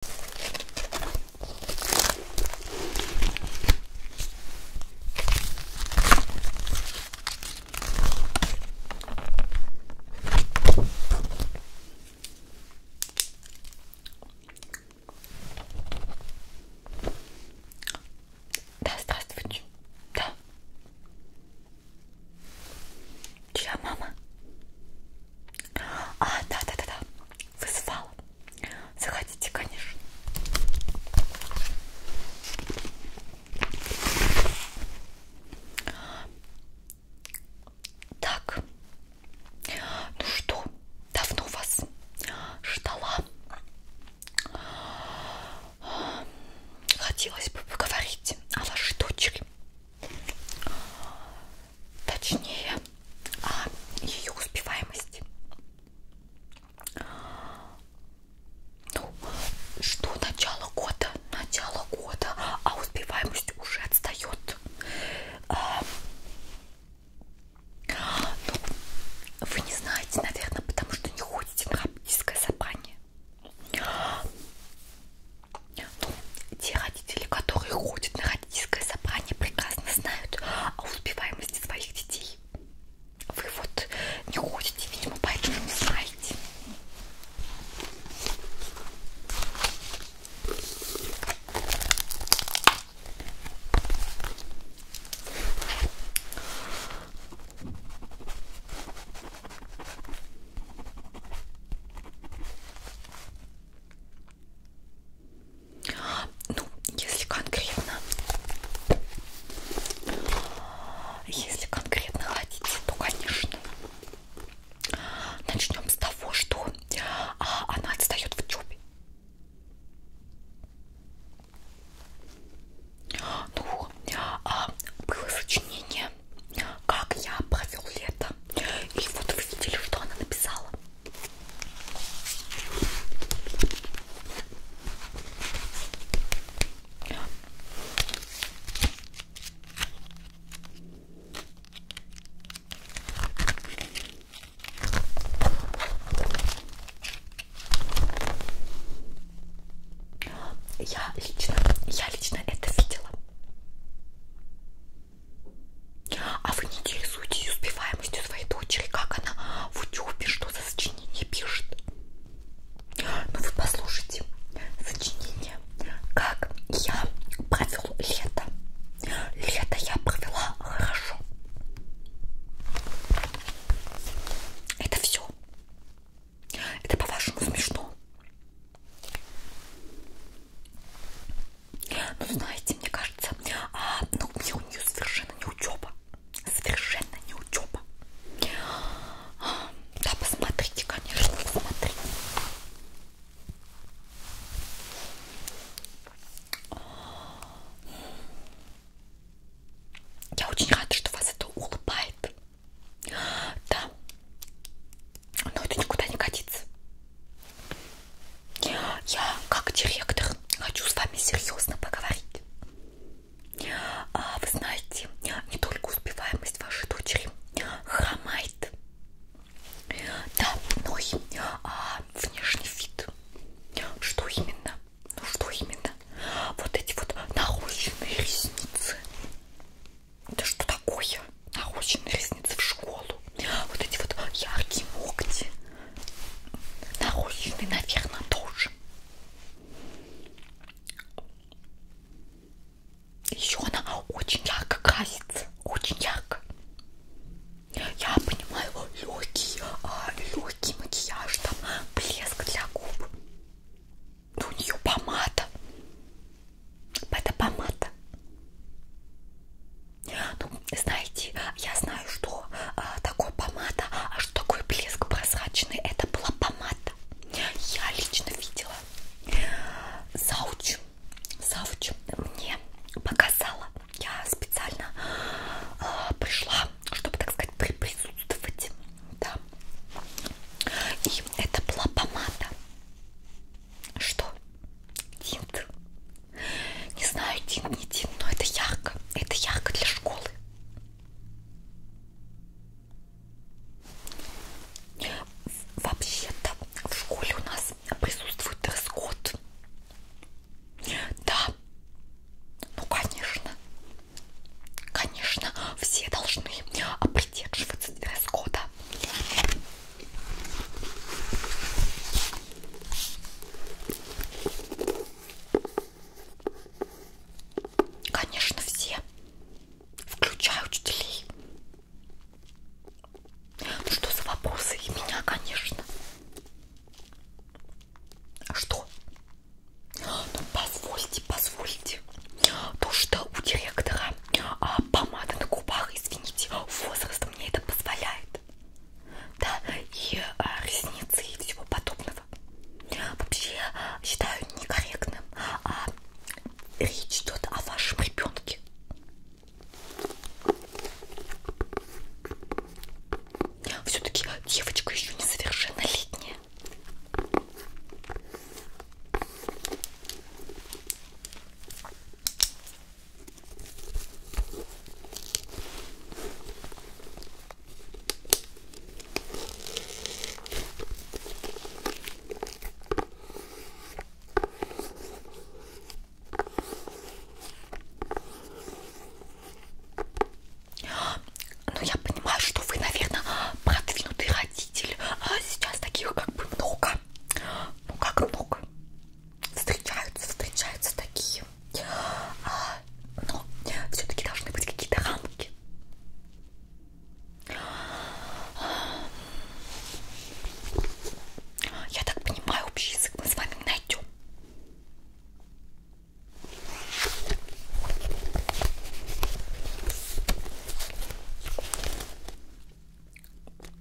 Да, здравствуйте. Да. Чья мама? А, да-да-да, вызывала. Заходите, конечно. Так, ну что, давно вас ждала. Хотелось бы поговорить о вашей дочери точнее о а, ее успеваемости. Ну, что начало года? Начало года, а успеваемость уже отстает. А, ну, вы не знаете, наверное, потому что не ходите в хабдийское собрание. Ну, те родители, которые ходят на родительское собрание, прекрасно знают о успеваемости своих детей. Вы вот не ходите, видимо, поэтому не знаете. Ну, если конкретно, если конкретно хотите, то, конечно, начнем с того, что а, она отстает в учебе. Ну, а, было сочинение, как я провел лето и вот вы видели, что она написала. Я лично, я лично это видела. А вы не интересуетесь успеваемостью своей дочери, как она в учебе, что за сочинение пишет? Ну вы послушайте, сочинение, как я провел лето. Лето я провела хорошо. Это все. Это по-вашему смешно. Ну, знаете, мне кажется, а, ну, мне у нее совершенно не учеба. Совершенно не учеба. А, да, посмотрите, конечно, посмотрите. Я очень рада, что вас это улыбает. Да но это никуда не годится. Я, как директор, хочу с вами серьезно поговорить. А, вы знаете, не только успеваемость вашей дочери хромает, да, но и а, внешний вид. Что именно? Ну что именно? Вот эти вот нарощенные ресницы. Это что такое? Нарощенные ресницы в школу. Вот эти вот яркие ногти. Нарощенные, наверное, тоже. Еще она очень ярко красится. Очень ярко. Я понимаю, легкий, а, легкий макияж, там блеск для губ. Но у нее помада. Это помада. Ну, знаете, я знаю, что э, такое помада, а что такое блеск прозрачный. Это была помада. Я лично видела. Зауч, Зауч мне показала. Я специально э, пришла, чтобы, так сказать, присутствовать. Да. И это была помада. Что? Тинт. Не знаю, тинт, не тинт, но это ярко. Это ярко для школы. Вообще-то в школе у нас присутствует дресс-код. Да. Ну, конечно. Конечно, все должны придерживаться дресс-кода. Конечно, все, включая учителей. Ну что за вопросы? И меня, конечно. А что? Ну позвольте, позвольте. То, что у директора а, помада на губах, извините, возраст мне это позволяет. Да, и а, ресницы и всего подобного. Вообще считаю некорректным а, речь идет о вашем ребенке. Все-таки девочка еще несовершеннолетняя. Ну, я понимаю, что вы, наверное, продвинутый родитель. А сейчас таких как бы много да, ну как много. Встречаются, встречаются такие. А, но все-таки должны быть какие-то рамки. Я так понимаю, общий язык мы с вами не найдем.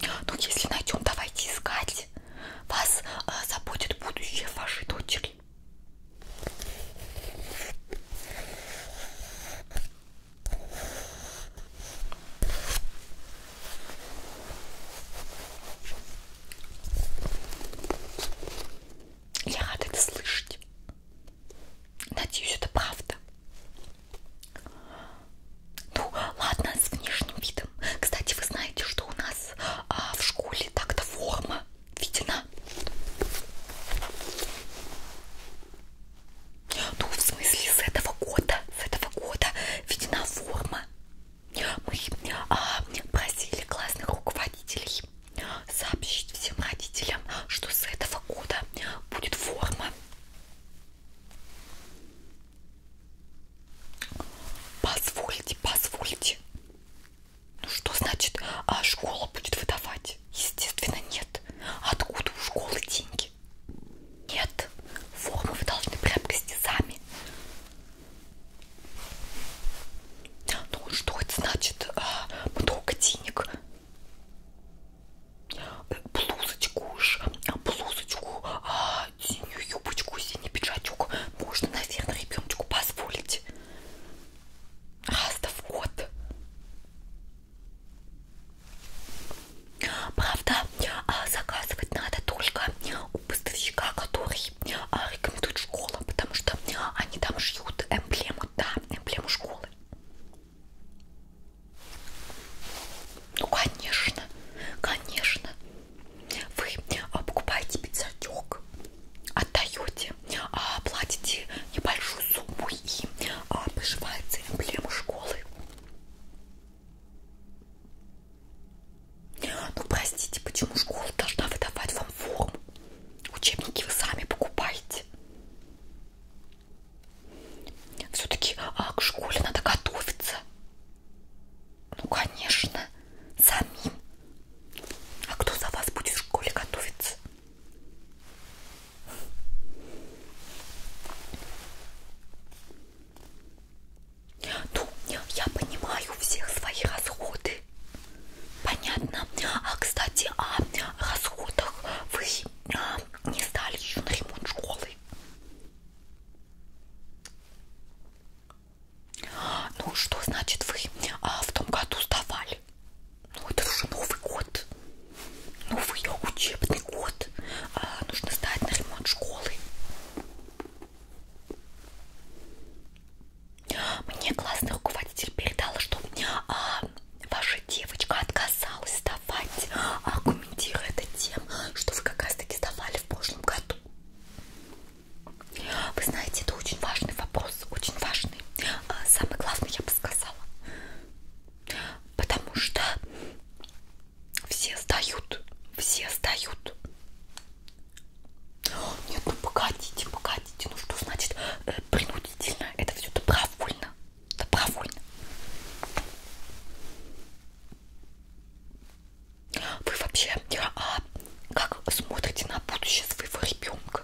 Но ну, если найдем, давайте искать. Вас э, заботит будущее вашей дочери. Я рада это слышать. Надеюсь, это правда. Ну, ладно, с внешним видом. Кстати, вы знаете, что у нас а, в школе так-то форма видена. Ну, в смысле, с этого года, с этого года видена форма. Мы а, просили классных руководителей сообщить всем родителям, что с этого года будет форма Позвольте, позвольте. Ну что значит, а школа будет выдавать? Естественно, нет. Откуда у школы деньги? Нет. Формы вы должны приобрести сами. Ну что это значит? А, много денег блузочку уж, а, блузочку, а, синюю юбочку, синий пиджачок можно, наверное, ребеночку позволить. Раз-то в год. Правда, а, заказывать надо только у поставщика, который а, рекомендует школам, потому что они там шьют эмблему, да, эмблему школы. Ну, конечно, конечно. Вы покупаете пиджачок, отдаете, а, платите небольшую сумму и а, приживается эмблема школы. Ну, простите, почему школа должна выдавать вам форму? Учебники вы сами покупаете. Все-таки, а к школе надо готовиться. Ну, конечно, самим. А кто за вас будет в школе готовиться? Ну, я понимаю всех свои расходы. Понятно. А, кстати, о расходах вы а, не сдали еще на ремонт школы. Ну что значит вы а, в том году сдавали? Ну это уже новый год, новый учебный год. А, нужно сдать на ремонт школы. Мне классный руководитель передала, что а, ваша девочка отказалась давать, аргументируя это тем, что вы как раз таки сдавали в прошлом году. Вы знаете, это очень важный вопрос, очень важный. А, Самый главный, я бы сказала. Потому что все сдают, все сдают. Нет, ну погодите, погодите, ну что значит э, принудительно? Это все добровольно добровольно. Вы вообще а, как смотрите на будущее своего ребенка?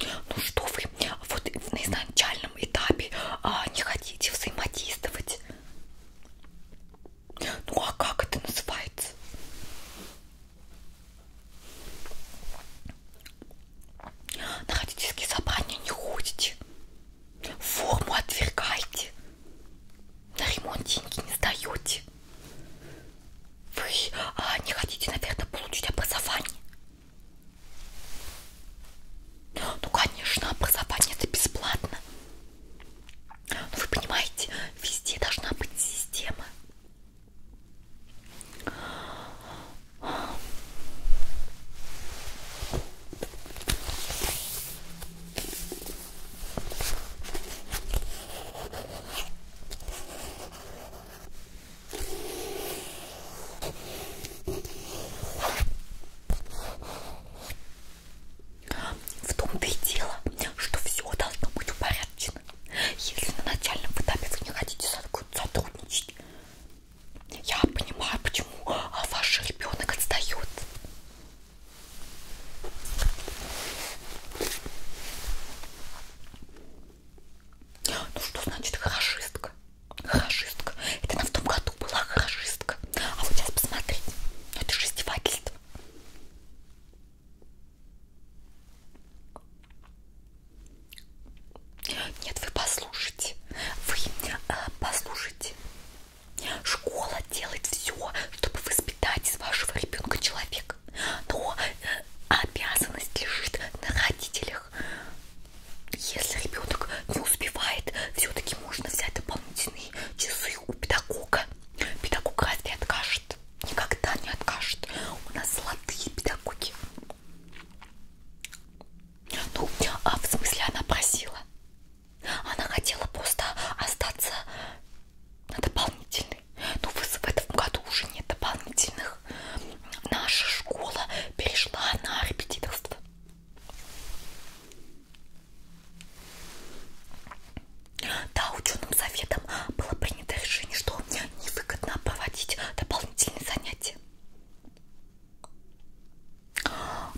Ну что вы вот на изначальном этапе а, не хотите взаимодействовать? Ну а как это называется? На родительские собрания не ходите, форму отвергаете, на ремонт деньги не сдаете. Вы а, не хотите, наверное, получить образование? Ну, конечно, образование это бесплатно. Но вы понимаете, везде должна быть система. В том-то и дело, что все должно быть в порядке. Отлично. Если на начальном этапе вы не хотите сотрудничать, я понимаю, почему а, ваш ребенок отстает. Ну что значит хорошистка? Хорошистка. Это она в том году была хорошистка. А вот сейчас посмотрите. Это же издевательство. Нет, вы послушайте, вы э, послушайте. Школа делает все, чтобы воспитать из вашего ребенка человека, но э, обязанность лежит на родителях. Если ребенок не успевает, все-таки можно взять дополнительные часы у педагога. Педагог разве откажет? никогда не откажет. У нас золотые педагоги. Ну, а в смысле она просила. Она хотела просто остаться на дополнительный. Ну, в этом году уже нет дополнительных. Наша школа перешла на репетиторство. Да, ученым советом было принято решение, что невыгодно проводить дополнительные занятия.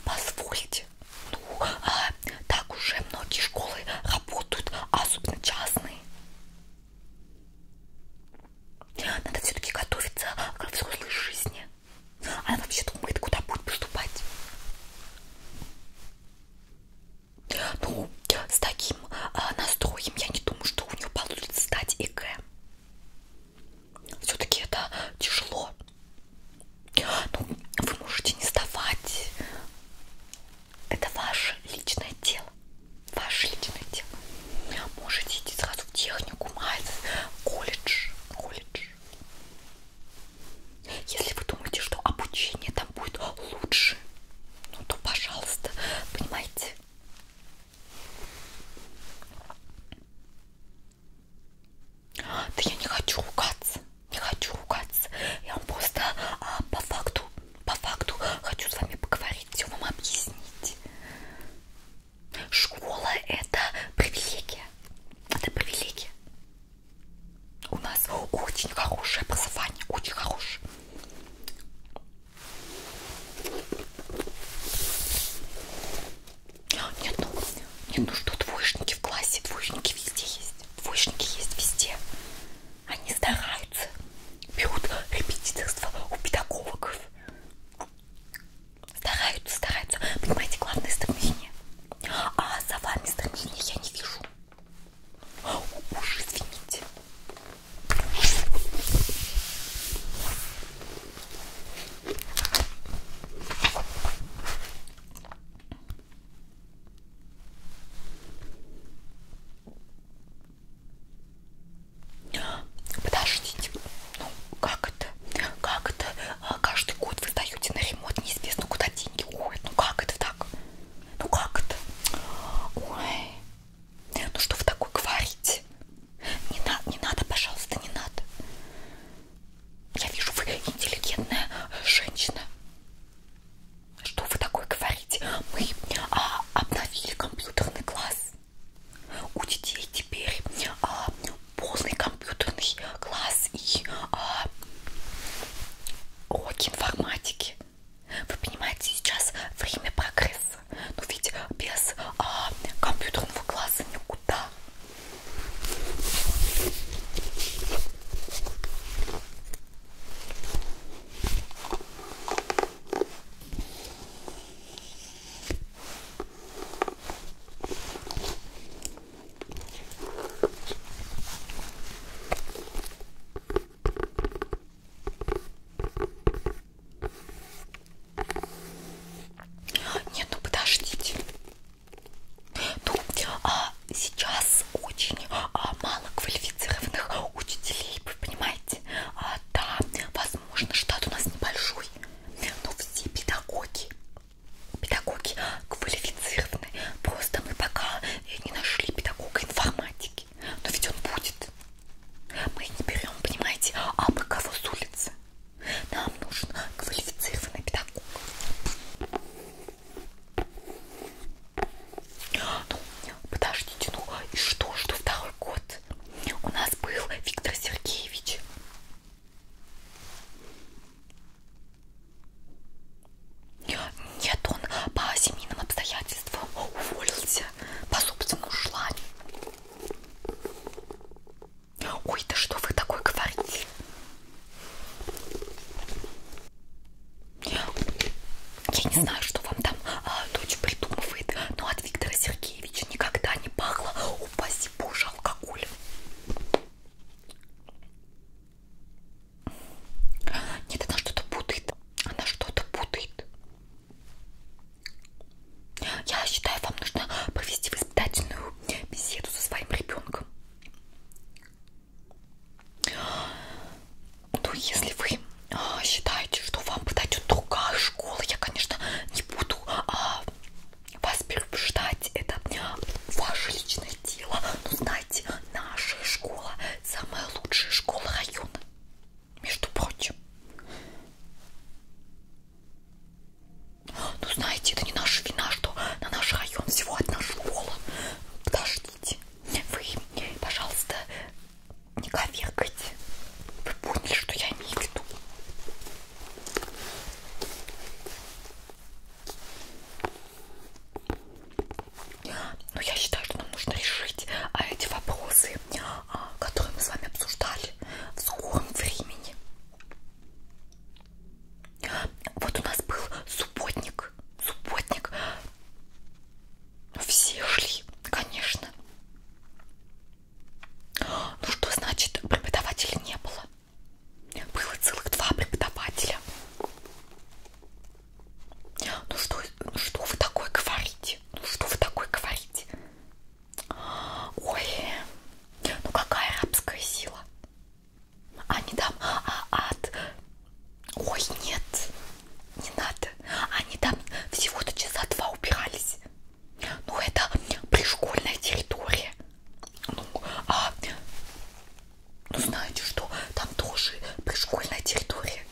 Позвольте, ну, а, так уже многие школы работают, а особенно частные. Надо все-таки готовиться к взрослой жизни. Она вообще думает, куда будет поступать. Ну, с таким э, настроем я не думаю, что у нее получится сдать ЕГЭ. Все-таки это тяжело. Ну, вы можете не сдавать. Это ваше личное дело. Ваше личное дело. Можете идти сразу в технику, мать, колледж, колледж. Если вы думаете, что обучение там будет лучше, ну то пожалуйста, понимаете? Да я не хочу ругаться, не хочу ругаться. Я вам просто а, по факту, по факту хочу с вами поговорить, все вам объяснить. Школа это привилегия, это привилегия. У нас очень хорошее образование, очень хорошее. Нет, ну, нет, ну что, двоечники в классе, двоечники везде есть. Двоечники есть везде. Они стараются. Берут репетиторство у педагогов. Стараются, стараются. Понимаете, главное стремление. А за вами стремление я не вижу. Уж извините. Подождите, ну как это? Как это? А, каждый год вы сдаете на ремонт неизвестно куда деньги уходят. Ну как это так? Ну как это? Ой. Ну что вы такое говорите? Не, на, не надо, пожалуйста, не надо. Я вижу, вы интеллигентная женщина. Что вы такое говорите? Мы а, обновили компьютерный класс. У детей теперь а, полный компьютерный класс и а, уроки информатики. Вы понимаете, сейчас время прогресса. Но ведь без а, компьютерного класса никуда. Нет, ну подождите. Ну, а сейчас очень а, мало квалифицированных учителей, вы понимаете? А, да, возможно, штат у нас небольшой, но все педагоги, педагоги квалифицированы. Просто мы пока и не нашли педагога информатики. Но ведь он будет. Мы не берем, понимаете, а мы кого с улицы. Нам нужен квалифицированный педагог. Ну, подождите, ну и что, что второй год? У нас был Виктор Сергеевич. Нет, он по семейным обстоятельствам уволился по собственному желанию. Ой, да что вы такое говорите? Я не знаю, что вам там а, дочь придумывает, но от Виктора Сергеевича никогда не пахло, упаси боже, алкоголем. Нет, она что-то путает. Она что-то путает. Я считаю, вам нужно провести воспитательную беседу со своим ребенком. Ну, если вы а, считаете, что вам подойдет другая школа, я, конечно, не буду а, вас переубеждать. Это ваше личное дело. Но кстати, наша школа самая лучшая школа района, между прочим. Ну, знаете, это не наша вина, что на наш район всего одна школа. Подождите. Вы, пожалуйста, не коверкайте. Вы поняли, что я имею в виду? Но ну, я считаю, что нам нужно решить а, эти вопросы, а, которые мы с вами обсуждали в скором времени. Вот у нас был субботник. Субботник. Все шли, конечно. Ну что значит преподавателей не было? Было целых два преподавателя. Ну что, ну что вы такое говорите? Ну что вы такое говорите? Ой, ну какая рабская сила? Они там а, от... А Ой, нет, не надо. Они там всего-то часа два убирались. Ну это пришкольная территория. Ну, а ну знаете что, там тоже пришкольная территория.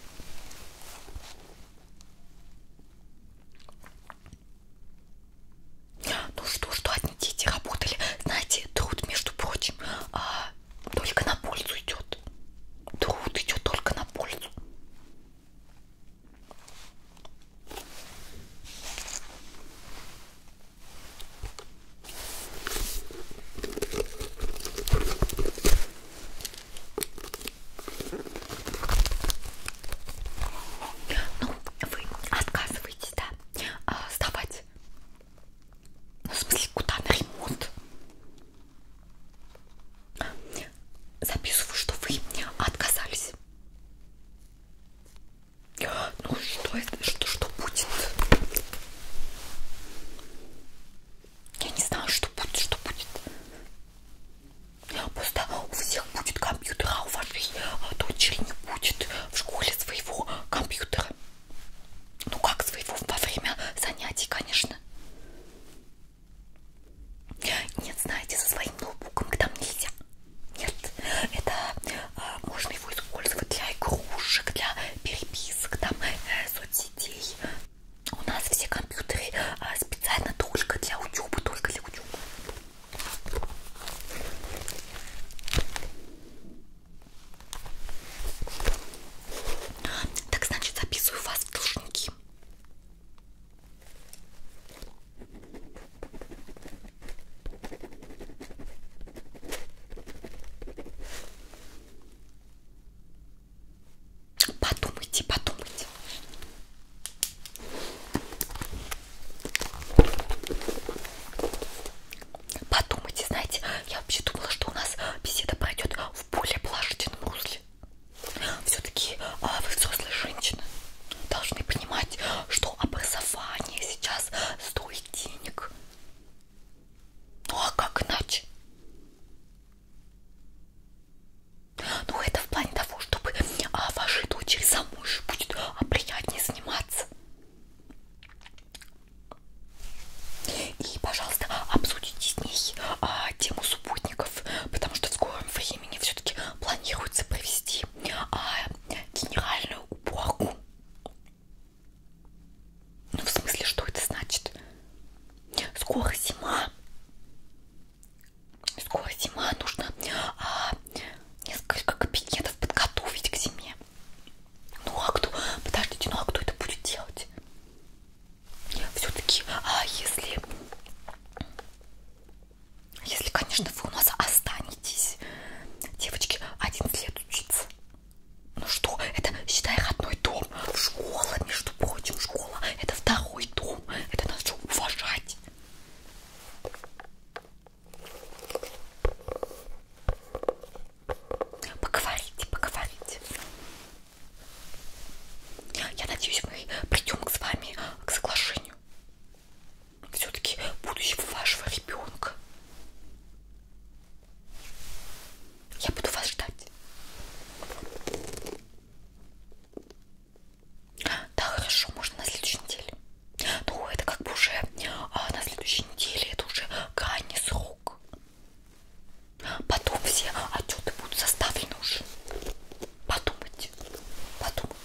Ну что, что одни дети работали, знаете, труд, между прочим, а, только на пользу идет. Труд идет только на пользу. Ну, вы отказываетесь, да, а, сдавать. Ну, в смысле, куда на ремонт? Записываю, что вы отказались. Ну, что это, что, что будет? Я не знаю, что будет, что будет. Просто у всех будет компьютер, а у вашей а, дочери не будет в школе своего компьютера. Ну как своего во время занятий, конечно. Нет, знаете, со своим ноутбуком к там нельзя. Нет, это а, можно его использовать для игрушек, для переписок, там, э, соцсетей. У нас все компьютеры а, специально только для учебы, только для учебы. Так, значит, записываю вас в должники. Подумайте, подумайте. Подумайте, знаете, я вообще думала, что у нас беседа пройдет в более положительном русле. Все-таки а, вы взрослые женщины должны понимать, что образование сейчас стоит денег. Ну а как иначе? Ну это в плане того, чтобы а, вашей дочери замуж будет а, приятнее заниматься. И, пожалуйста, обсудите с ней а, тему субботников, потому что в скором времени все-таки планируется провести а, генеральную уборку ну, в смысле, что это значит? Скоро зима. Скоро зима. Нужно а, несколько кабинетов подготовить к зиме. Ну, а кто... Подождите, ну, а кто это будет делать? Все-таки, а если... Если, конечно, вы у нас останетесь. Девочки, 11 лет учиться. Ну что, это, считай, родной дом. Школа, между прочим, школа. Это второй дом. Это надо уважать. Поговорите, поговорите. Я надеюсь, мы придем к с вами к соглашению. Все-таки будущего вашего ребенка. Я буду вас ждать. Да, хорошо, можно на следующей неделе. Ну, это как бы уже а, на следующей неделе, это уже крайний срок. Потом все отчеты будут составлены уже. Подумайте, подумайте.